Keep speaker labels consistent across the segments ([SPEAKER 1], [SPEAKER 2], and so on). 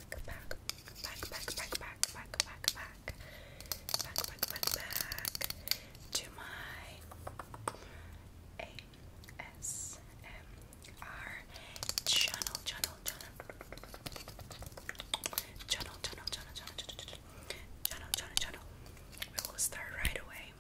[SPEAKER 1] back, back, back, back, back, back, back, back, back, back, back, back, to my ASMR channel, channel, channel, channel, channel, channel, channel. We will start right away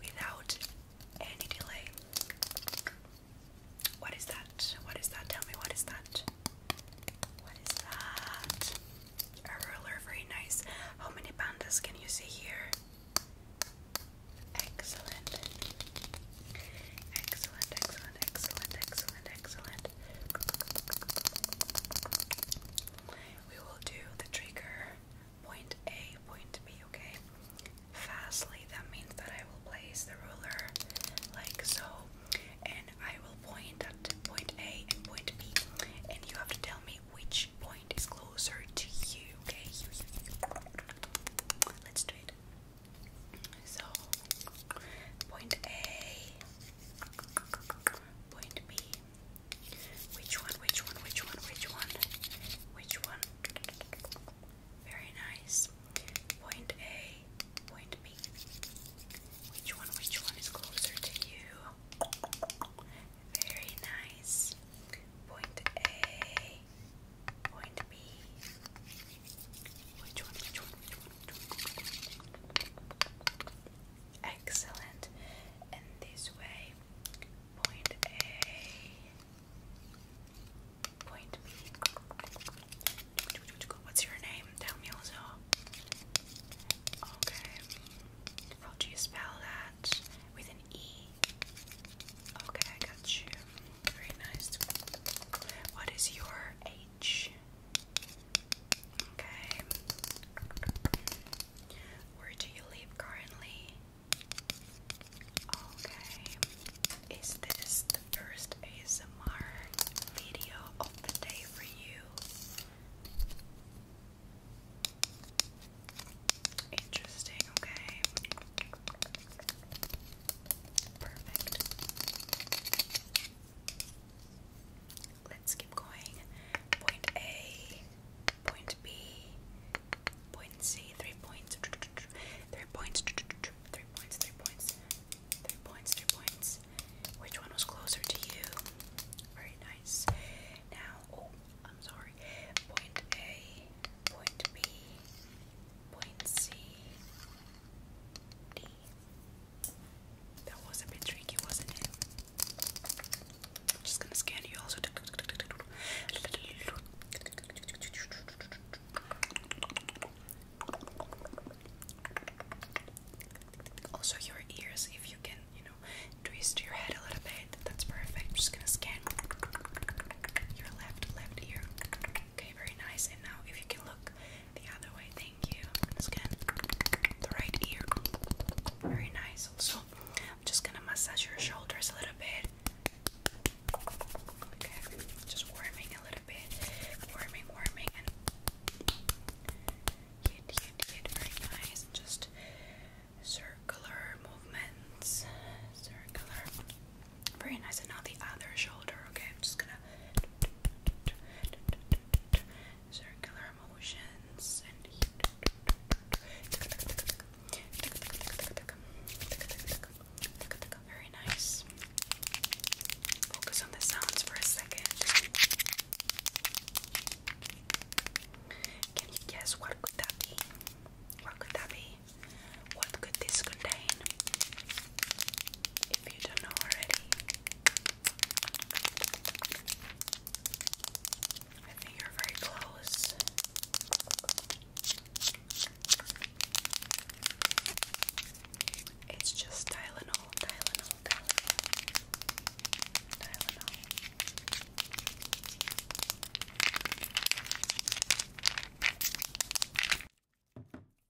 [SPEAKER 1] without any delay. What is that? What is that? Tell me what is that? What is that? A ruler, very nice. How many pandas can you see here? Excellent. Excellent, excellent, excellent, excellent, excellent. We will do the trigger point A, point B, okay? fastly, that means that I will place the ruler like so, and I will point at point A and point B, and you have to tell me which point is closer to you, okay? Let's do it. So, point A, point B. Which one, which one, which one, which one, which one? Very nice. Point A, point B. Which one, which one is closer to you? Very nice. Point A, point B. Which one, Excellent. And this way, point A, Point B. What's your name? Tell me also. Okay. How do you spell that? With an E. Okay, I got you. Very nice. What is your H? Okay. Where do you live currently? Okay, is this the first ASMR video of the day for you? Interesting, okay. Perfect. Let's keep going. Point A point B, point C, three points, three points, three points, three points, three points, three points. Which one was closer to you? Very nice. Now, oh, I'm sorry. Point A, point B, point C, D. That was a bit tricky, wasn't it? I'm just gonna scan you also. Also, your ears, if you can, you know, twist your head a little bit, that's perfect. I'm just gonna scan your left, left ear. Okay, very nice. And now, if you can look the other way, thank you. scan the right ear. Very nice. Also, I'm just gonna massage your shoulders a little bit. Okay, just warming a little bit, warming, warming, and hit, hit, hit. Very nice. Just circular movements, circular. Very nice. And now the other shoulder. Okay, I'm just gonna circular very nice. Focus on the sounds for a second. Can you guess what could that be? What could that be? What could this contain? If you don't know already. I think you're very close. It's just Tylenol, Tylenol, Tylenol. Tylenol.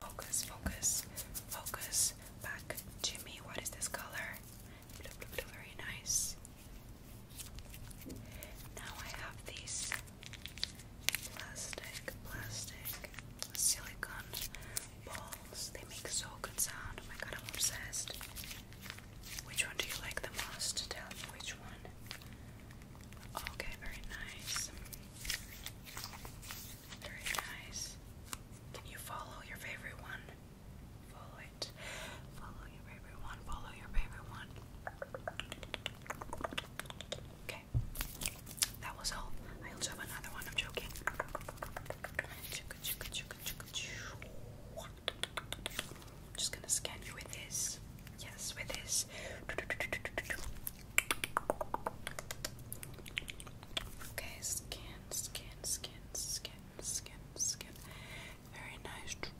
[SPEAKER 1] Focus, focus, focus. Back to What is this color? very nice. Now I have these plastic, plastic silicone balls. They make so good sound. Oh my god, i obsessed. Which one do you like the most? Tell me which one. Okay, very nice. Very nice. Can you follow your favorite one? Follow it. Follow your favorite one. Follow your favorite one. Okay. That was all. I also have another one. I'm joking. just gonna scan you with this. Yes, with this. Okay, scan, scan, scan, scan skin, skin, skin. Very nice. Good,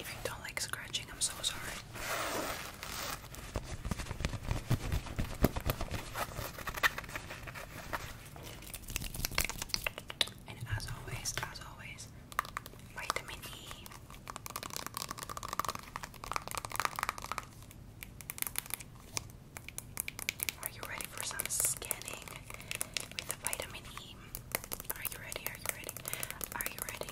[SPEAKER 1] if you don't like scratching, I'm so sorry. And as always, as always, vitamin E. Are you ready for some scanning with the vitamin E? Are you ready? Are you ready? Are you ready?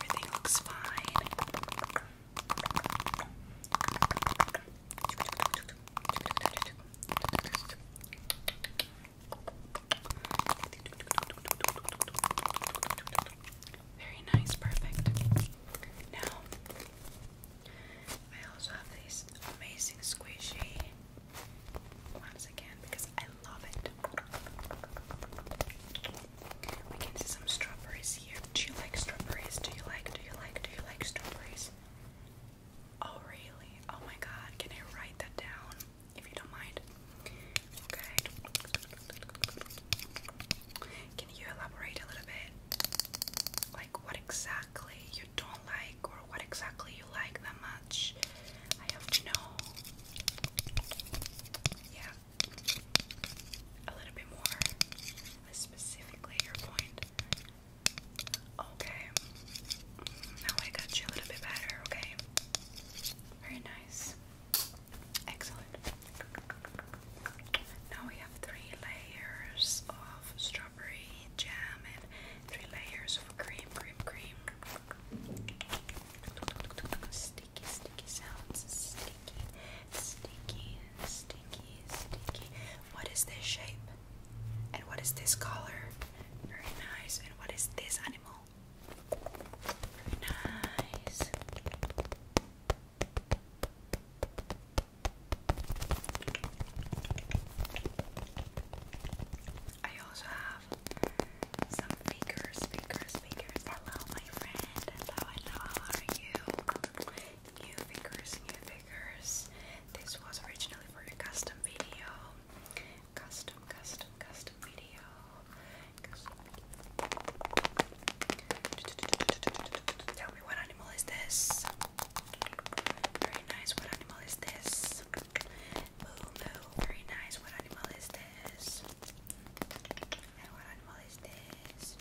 [SPEAKER 1] Everything looks fine. Very nice, perfect. Now, I also have these amazing squishy once because I love it. We can see some strawberries here. Do you like strawberries? Do you like, do you like, do you like strawberries? Oh, really? Oh my god, can I write that down if you don't mind? Okay. Can you elaborate a little bit? Like, what exactly you don't like? or what exactly you like that much. I have to know. Yeah. A little bit more specifically your point. Okay. Now I got you a little bit better, okay? Very nice. Excellent. Now we have three layers of strawberry jam and three layers of cream, cream, cream. Sticky, sticky sounds. Sticky, sticky, sticky, sticky. What is this shape? And what is this color? Very nice. And what is this animal? Very nice. I also have some speakers, speakers, speakers. Hello, my friend. How are you? New figures, new figures. This was originally for a custom video. Custom, custom, custom video. Tell me when I animal is this? Very nice. What animal is this? Very nice. What animal is this? what animal is this?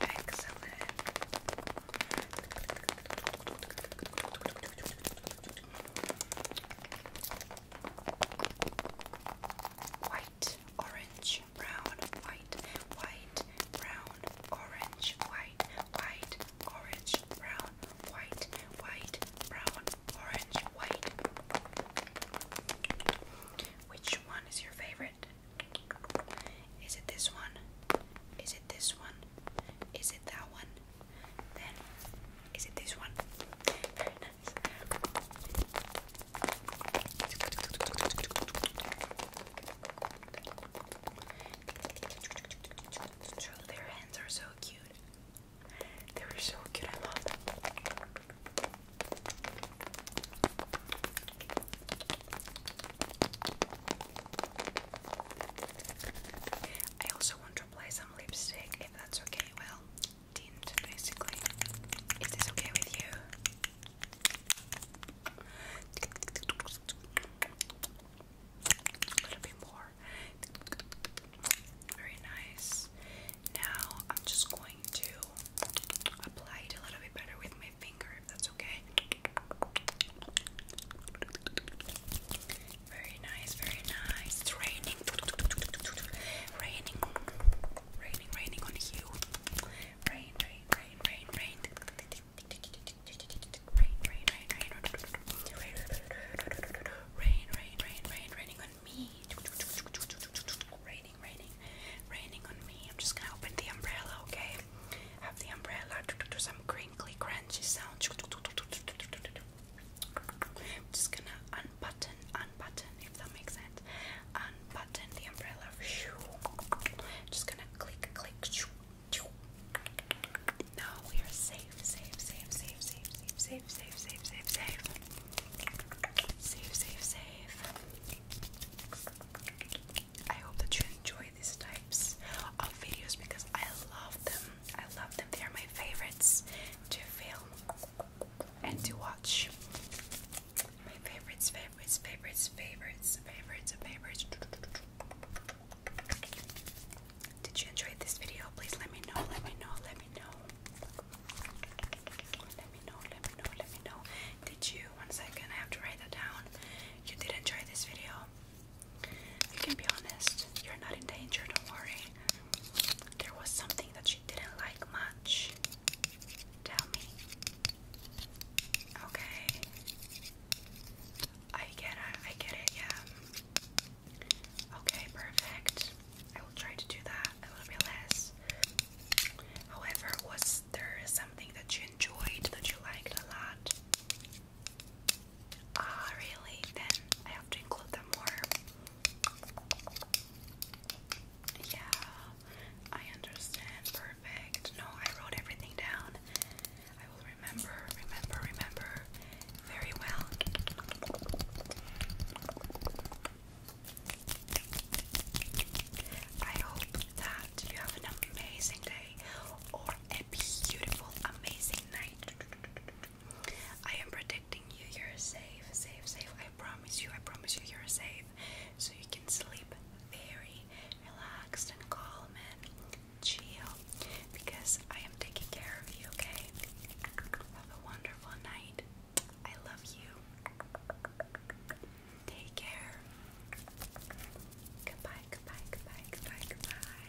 [SPEAKER 1] Excellent. White, orange, brown, white, white, brown, orange, white, white, orange, brown, white, white, brown, orange, white. Which one is your favorite? Is it this one? Is it this one? Is it that one? Then, is it this one? their hands are so cute. They were so cute, I love them. I also want to apply some lipstick if that's okay. Well, tint basically. Is this okay with you? A little bit more. Very nice. Now I'm just going to apply it a little bit better with my finger if that's okay. Very nice, very nice. It's raining. Raining. Raining, raining on you rain, rain, rain, rain, rain. Rain, rain, rain, rain, rain, rain, rain, rain, rain, raining on me. Raining, raining, raining on me. I'm just gonna open the umbrella, okay? Have the umbrella do some crinkly, crunchy sound. just gonna unbutton, unbutton if that makes sense. Unbutton the umbrella. Just gonna click, click. Now we are safe, safe, safe, safe, safe, safe, safe, safe, safe, safe, safe. Safe, safe, safe. I hope that you enjoy these types of videos because I love them. I love them. They are my favorites to film and to watch. My favorites, favorites, favorites, favorites, favorites, favorites. Did you enjoy this video? Please let me know, let me know, let me know. Let me know, let me know, let me know. Did you, one second, I have to write that down. You did enjoy this video. You can be honest, you're not in danger, don't worry. There was something that she didn't like much. Tell me. Okay. I get it. I get it. Yeah. Okay, perfect. I will try to do that a little bit less. However, was there something that you enjoyed that you liked a lot? Ah, really? Then I have to include them more. Yeah, I understand. Perfect. No, I wrote everything down. I will remember, remember, remember very well. I hope that you have an amazing day or a beautiful, amazing night. I am predicting you. You're safe, safe, safe. I promise you, I promise you, you're safe. So you can sleep very relaxed and calm and chill because I am taking care of you, okay? Have a wonderful night. I love you. Take care. Goodbye, goodbye, goodbye, goodbye, goodbye.